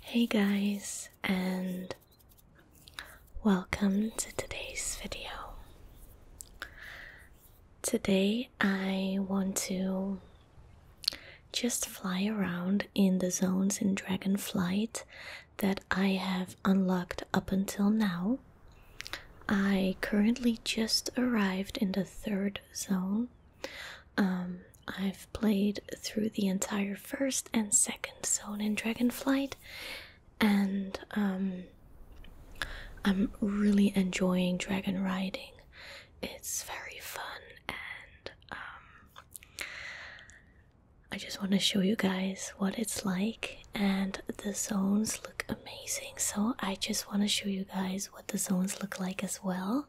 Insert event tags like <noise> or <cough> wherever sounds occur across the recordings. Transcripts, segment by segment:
Hey guys, and welcome to today's video. Today I want to just fly around in the zones in Dragonflight that I have unlocked up until now. I currently just arrived in the third zone, um, I've played through the entire first and second zone in Dragonflight, and um, I'm really enjoying dragon riding. It's very fun, and um, I just want to show you guys what it's like. And the zones look amazing, so I just want to show you guys what the zones look like as well.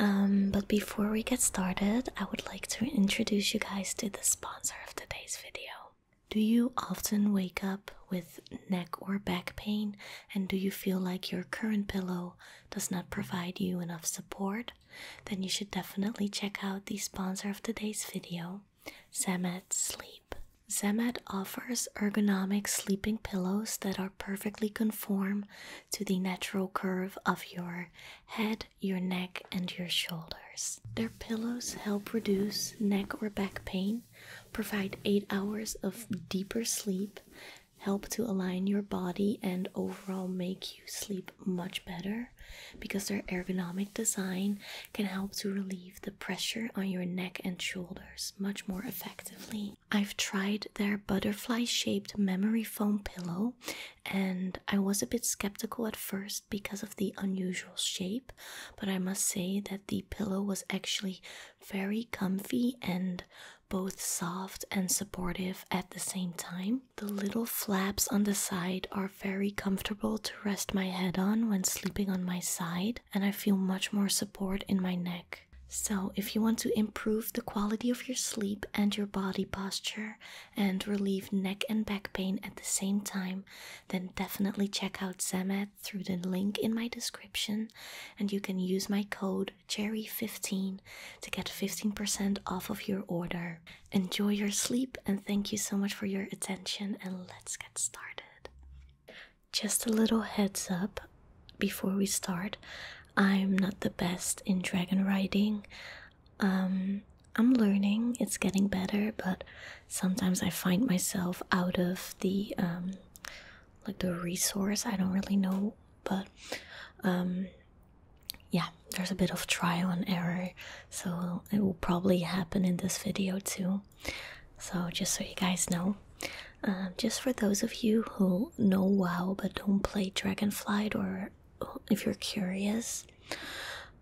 Um, but before we get started, I would like to introduce you guys to the sponsor of today's video. Do you often wake up with neck or back pain, and do you feel like your current pillow does not provide you enough support? Then you should definitely check out the sponsor of today's video, Zemet Sleep. Zemet offers ergonomic sleeping pillows that are perfectly conform to the natural curve of your head, your neck, and your shoulders. Their pillows help reduce neck or back pain, provide 8 hours of deeper sleep, help to align your body, and overall make you sleep much better because their ergonomic design can help to relieve the pressure on your neck and shoulders much more effectively. I've tried their butterfly shaped memory foam pillow, and I was a bit skeptical at first because of the unusual shape, but I must say that the pillow was actually very comfy and both soft and supportive at the same time. The little flaps on the side are very comfortable to rest my head on when sleeping on my side, and I feel much more support in my neck. So, if you want to improve the quality of your sleep and your body posture and relieve neck and back pain at the same time, then definitely check out Zemad through the link in my description. And you can use my code CHERRY15 to get 15% off of your order. Enjoy your sleep and thank you so much for your attention. And let's get started. Just a little heads up before we start. I'm not the best in dragon riding. Um, I'm learning, it's getting better, but sometimes I find myself out of the um, like the resource. I don't really know, but um, yeah, there's a bit of trial and error, so it will probably happen in this video too. So, just so you guys know. Um, just for those of you who know WoW but don't play Dragonflight, or if you're curious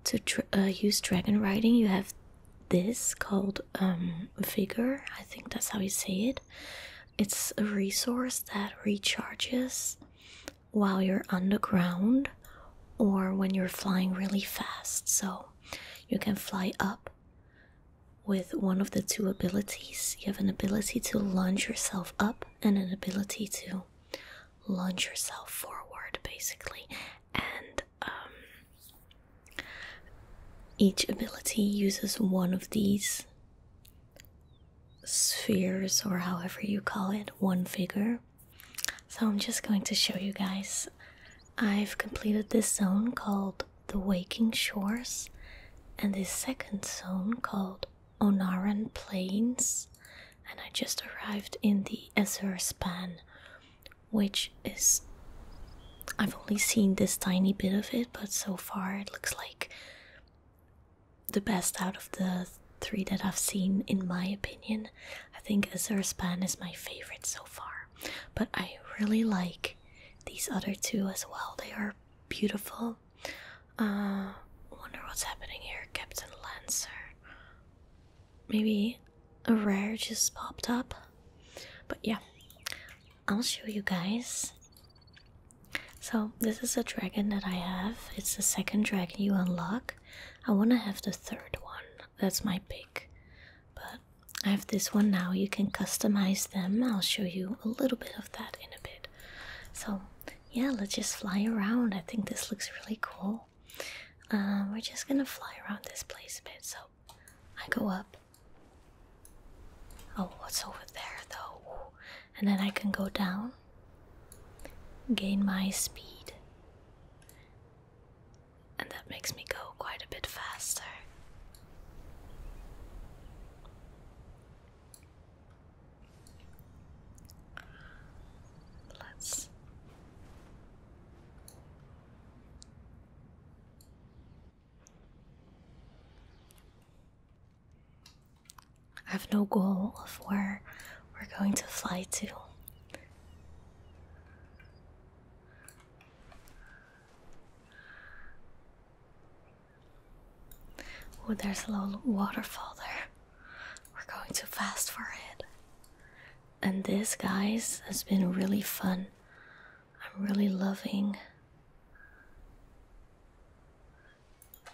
to uh, use dragon riding, you have this called um, Vigor. I think that's how you say it. It's a resource that recharges while you're underground or when you're flying really fast. So you can fly up with one of the two abilities, you have an ability to lunge yourself up and an ability to lunge yourself forward, basically. And um, each ability uses one of these spheres, or however you call it, one figure. So I'm just going to show you guys. I've completed this zone called the waking shores and the second zone called Onaran Plains. And I just arrived in the Azure Span, which is. I've only seen this tiny bit of it, but so far it looks like the best out of the three that I've seen, in my opinion. I think Azure Span is my favorite so far, but I really like these other two as well. They are beautiful. Uh, wonder what's happening here, Captain Lancer. Maybe a rare just popped up, but yeah, I'll show you guys. So this is a dragon that I have. It's the second dragon you unlock. I want to have the third one. That's my pick. But I have this one now. You can customize them. I'll show you a little bit of that in a bit. So, yeah, let's just fly around. I think this looks really cool. Uh, we're just gonna fly around this place a bit. So, I go up. Oh, what's over there though? And then I can go down, gain my speed, and that makes me go quite a bit faster. Let's I have no goal of where we're going to fly to. Oh, there's a little waterfall there. We're going too fast for it. And this, guys, has been really fun. I'm really loving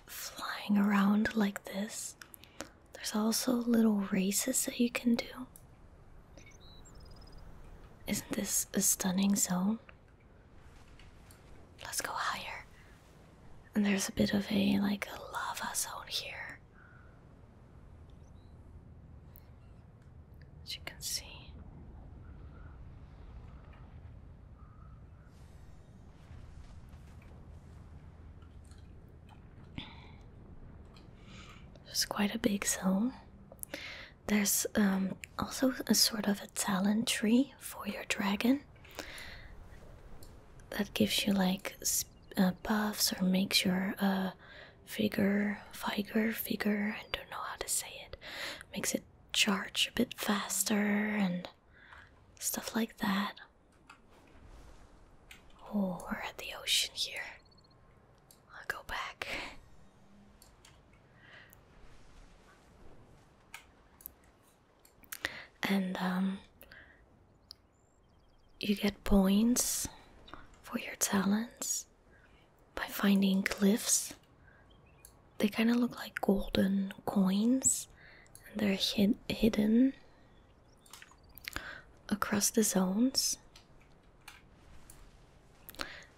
flying around like this. There's also little races that you can do. Isn't this a stunning zone? Let's go higher. And there's a bit of a like a lava zone here. As you can see. There's quite a big zone. There's um, also a sort of a talent tree for your dragon that gives you like uh, buffs or makes your uh, figure, figure, figure, I don't know how to say it, makes it charge a bit faster and stuff like that. Oh, we're at the ocean here i go back. And um, you get points for your talents by finding glyphs. They kind of look like golden coins, and they're hid hidden across the zones.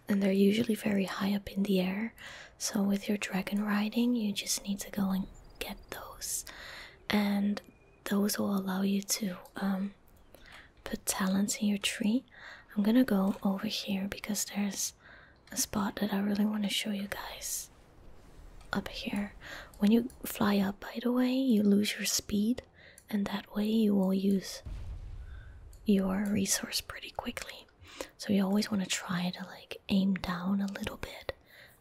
And they're usually very high up in the air. So, with your dragon riding, you just need to go and get those. And those will allow you to um, put talents in your tree. I'm gonna go over here because there's a spot that I really want to show you guys. Up here. When you fly up, by the way, you lose your speed and that way you will use your resource pretty quickly. So you always want to try to like aim down a little bit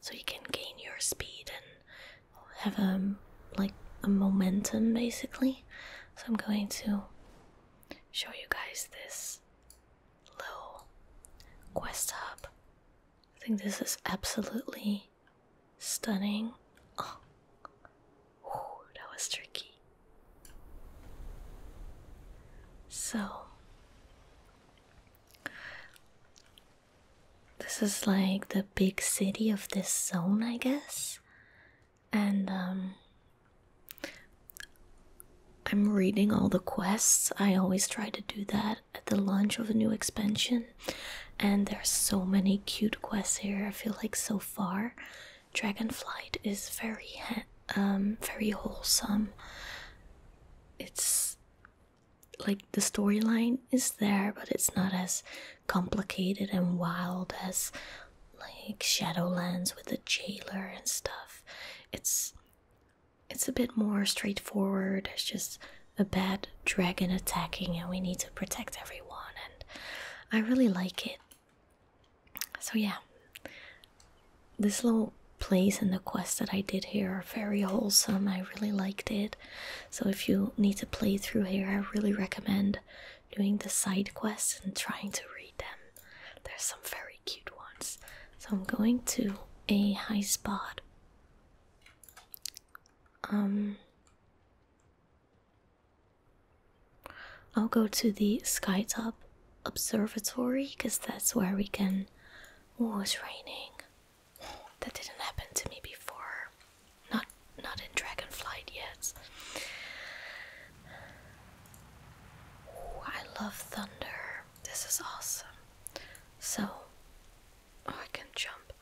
so you can gain your speed and have a um, like a momentum basically. So I'm going to show you guys this little quest hub. I think this is absolutely stunning. Oh, Ooh, that was tricky. So, this is like the big city of this zone, I guess. And, um, I'm reading all the quests. I always try to do that at the launch of a new expansion. And there's so many cute quests here, I feel like so far. Dragonflight is very um very wholesome. It's like the storyline is there, but it's not as complicated and wild as like Shadowlands with the jailer and stuff. It's it's a bit more straightforward. It's just a bad dragon attacking and we need to protect everyone and I really like it. So yeah, this little place and the quest that I did here are very wholesome. I really liked it. So if you need to play through here, I really recommend doing the side quests and trying to read them. There's some very cute ones. So I'm going to a high spot. Um I'll go to the Skytop Observatory because that's where we can. Oh, it's raining. That didn't happen to me before. Not not in Dragonflight yet. Oh, I love thunder. This is awesome. So, I can jump.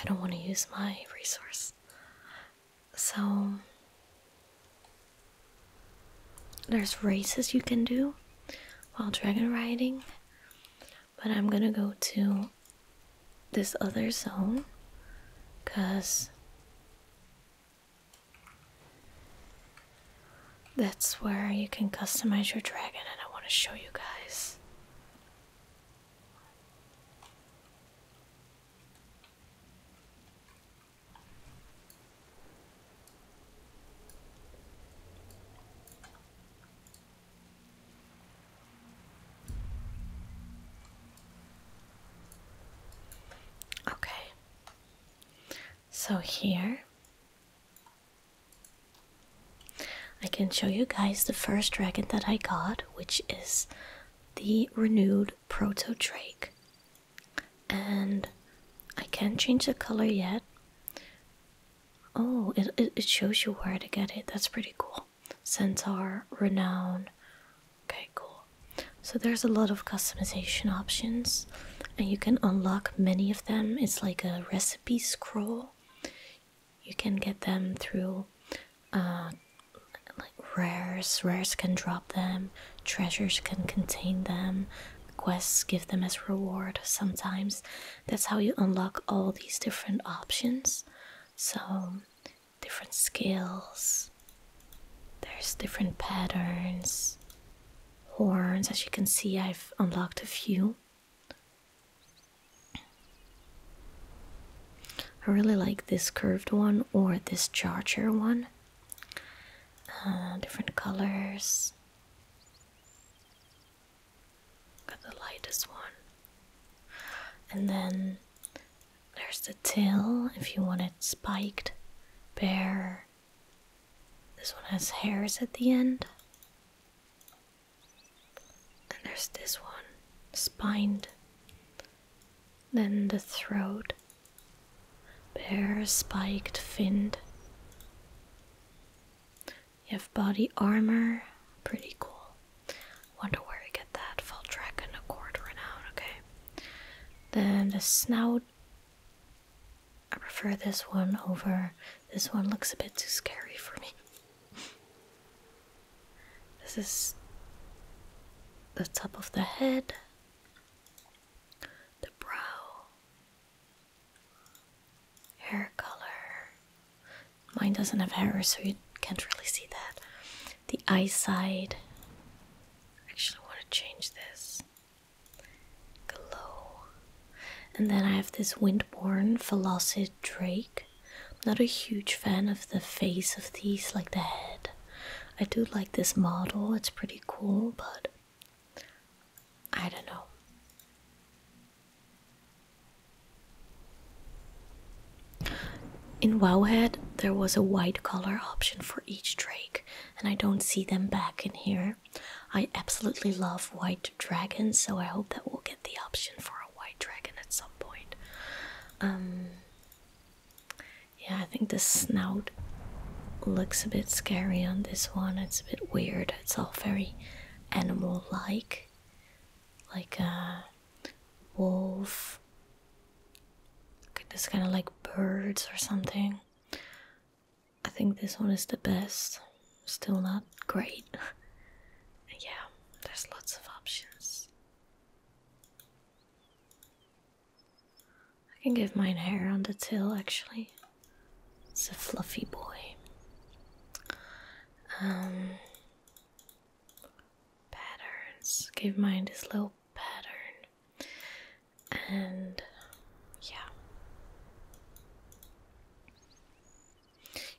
I don't want to use my resource. So there's races you can do while dragon riding, but I'm gonna go to this other zone because that's where you can customize your dragon, and I want to show you guys. Okay, so here I can show you guys the first dragon that I got, which is the renewed Proto Drake. And I can't change the color yet. Oh, it, it, it shows you where to get it. That's pretty cool. Centaur, Renown. Okay, cool. So there's a lot of customization options, and you can unlock many of them. It's like a recipe scroll you can get them through uh, like rares. Rares can drop them. Treasures can contain them. Quests give them as reward sometimes. That's how you unlock all these different options. So, different skills. There's different patterns. Horns, as you can see, I've unlocked a few. I really like this curved one or this charger one. Uh, different colors. Got the lightest one. And then there's the tail if you want it spiked, bare. This one has hairs at the end. And there's this one, spined. Then the throat, bare spiked finned. You have body armor, pretty cool. Wonder where I get that. Valdrac and a quarter out. okay. Then the snout. I prefer this one over. This one looks a bit too scary for me. This is the top of the head, the brow, hair color. Mine doesn't have hair, so you can't really see that. The eye I actually want to change this. Glow. And then I have this Windborne Velocid Drake. I'm not a huge fan of the face of these, like the head. I do like this model, it's pretty cool, but I don't know. In Wowhead, there was a white color option for each drake, and I don't see them back in here. I absolutely love white dragons, so I hope that we'll get the option for white dragon at some point. Um, yeah, I think the snout looks a bit scary on this one. It's a bit weird. It's all very animal-like, like a uh, wolf. Look at this kind of like birds or something. I think this one is the best. Still not great. <laughs> yeah, there's lots of options. I can give mine hair on the tail actually. It's a fluffy boy. Um patterns. Give mine this little pattern. And yeah.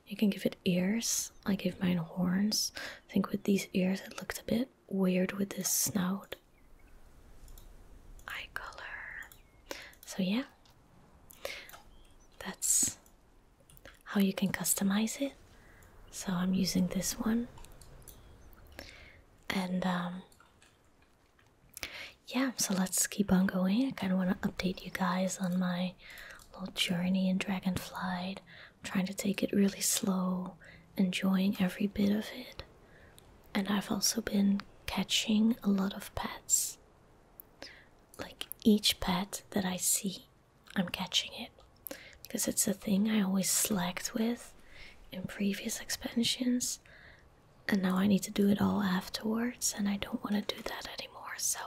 You can give it ears. I gave mine horns. I think with these ears it looked a bit weird with this snout. Eye color. So yeah. That's how you can customize it. So I'm using this one. And um, yeah, so let's keep on going. I kind of want to update you guys on my little journey in Dragonflight. trying to take it really slow, enjoying every bit of it. And I've also been catching a lot of pets. Like each pet that I see, I'm catching it. Because it's a thing I always slacked with in previous expansions. And now I need to do it all afterwards, and I don't want to do that anymore. So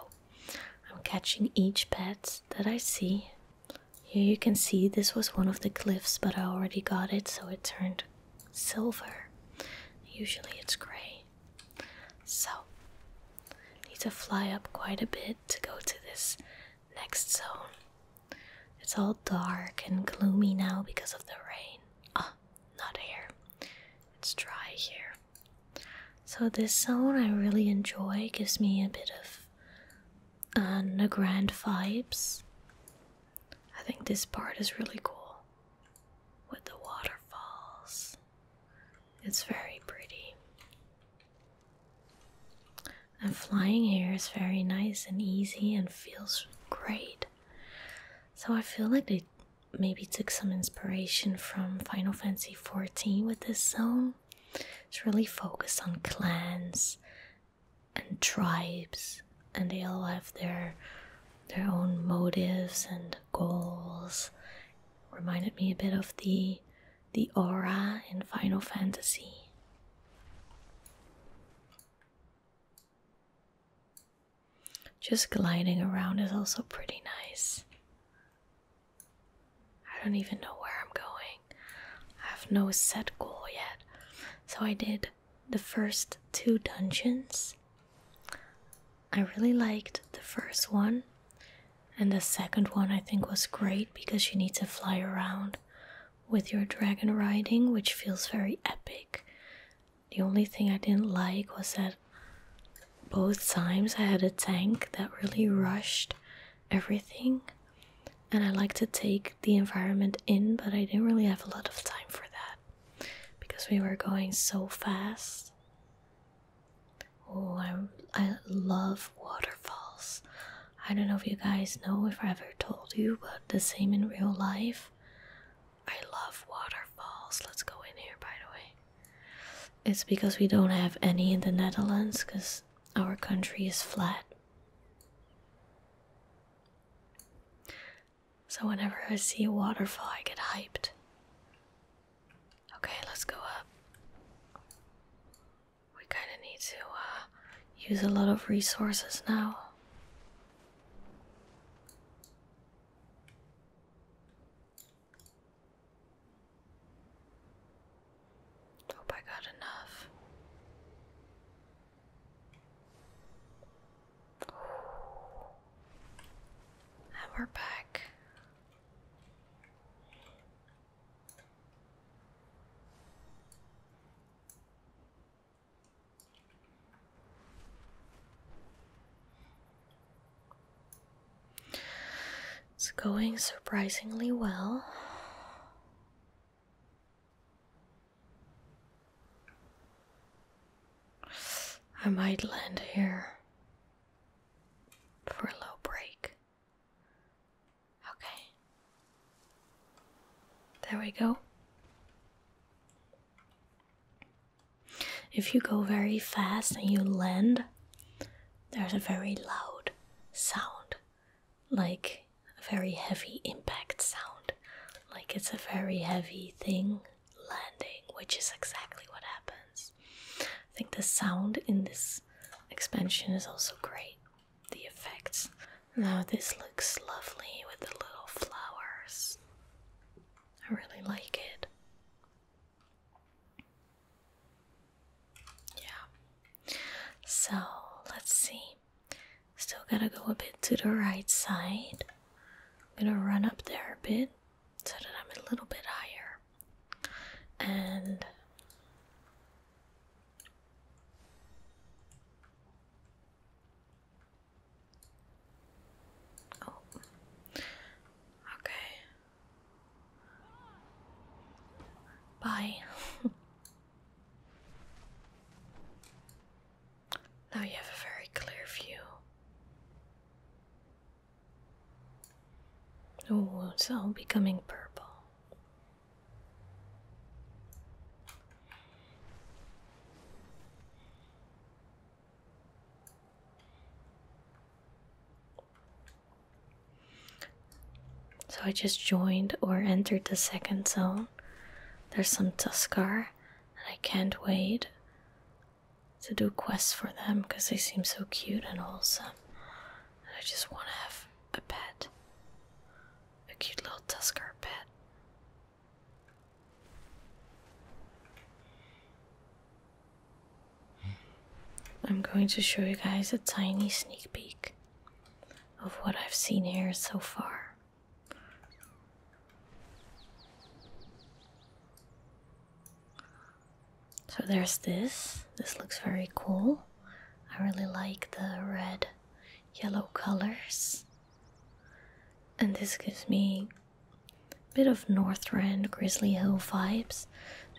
I'm catching each pet that I see. Here you can see this was one of the cliffs, but I already got it, so it turned silver. Usually it's gray. So, need to fly up quite a bit to go to this next zone. It's all dark and gloomy now because of the rain. Ah, not here. It's dry here. So this zone I really enjoy. Gives me a bit of a uh, Nagrand vibes. I think this part is really cool with the waterfalls. It's very pretty. And flying here is very nice and easy and feels great. So I feel like they maybe took some inspiration from Final Fantasy XIV with this zone. It's really focused on clans and tribes, and they all have their their own motives and goals. Reminded me a bit of the the aura in Final Fantasy. Just gliding around is also pretty nice. I don't even know where I'm going. I have no set goal yet. So I did the first two dungeons. I really liked the first one. And the second one I think was great because you need to fly around with your dragon riding, which feels very epic. The only thing I didn't like was that both times I had a tank that really rushed everything, and I like to take the environment in, but I didn't really have a lot of time for that because we were going so fast. Oh, I, I love waterfalls. I don't know if you guys know if I ever told you, but the same in real life. I love waterfalls. Let's go in here, by the way. It's because we don't have any in the Netherlands because our country is flat. So whenever I see a waterfall, I get hyped. Okay, let's go up. We kind of need to uh, use a lot of resources now. Hope I got enough. <sighs> And we're back. It's going surprisingly well. I might land here for a low break. Okay. There we go. If you go very fast and you land, there's a very loud sound, like a very heavy impact sound, like it's a very heavy thing landing, which is exactly what happens. I think the sound in this expansion is also great, the effects. Now, this looks lovely with the little flowers. I really like it. Yeah. So let's see. Still gotta go a bit to the right side. I'm gonna run up there a bit so that I'm a little bit higher. And Oh. Okay. Bye. <laughs> now you have a very clear view. Oh, it's all becoming purple. So I just joined or entered the second zone. There's some Tuskar, and I can't wait to do quests for them because they seem so cute and wholesome. And I just want to have a pet. A cute little Tuskar pet. I'm going to show you guys a tiny sneak peek of what I've seen here so far. So there's this. This looks very cool. I really like the red yellow colors. And this gives me bit of Northrend, Grizzly Hill vibes.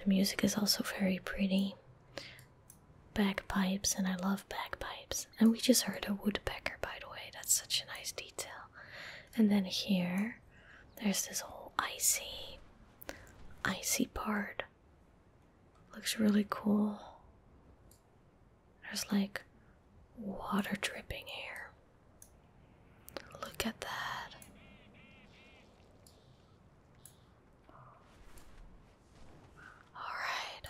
The music is also very pretty. Bagpipes, and I love bagpipes. And we just heard a woodpecker, by the way. That's such a nice detail. And then here, there's this whole icy, icy part. Looks really cool. There's like water dripping here. Look at that. Alright,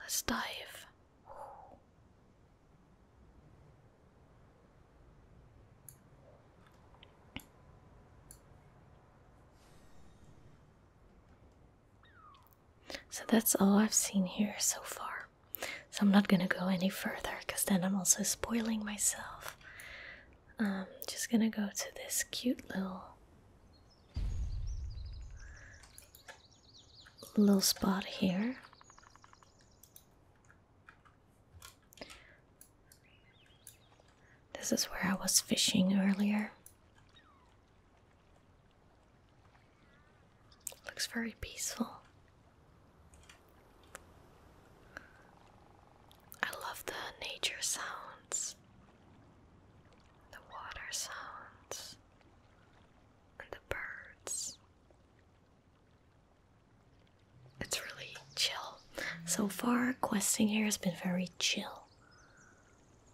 let's dive. So that's all I've seen here so far. So I'm not gonna go any further because then I'm also spoiling myself. I'm um, just gonna go to this cute little little spot here. This is where I was fishing earlier. Looks very peaceful. I love the nature sounds, the water sounds, and the birds. It's really chill. So far, questing here has been very chill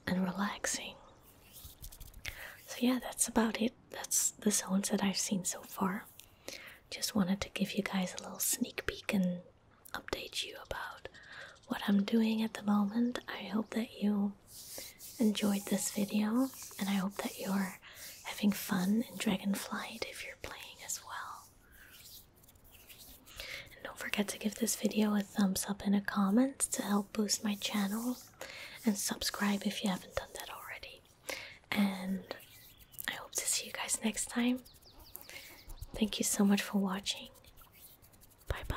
and relaxing. So, yeah, that's about it that's the zones that I've seen so far. Just wanted to give you guys a little sneak peek and update you about what I'm doing at the moment. I hope that you enjoyed this video and I hope that you're having fun in Dragonflight if you're playing as well. And don't forget to give this video a thumbs up and a comment to help boost my channel and subscribe if you haven't done that already and I hope to see you guys next time. Thank you so much for watching. Bye bye.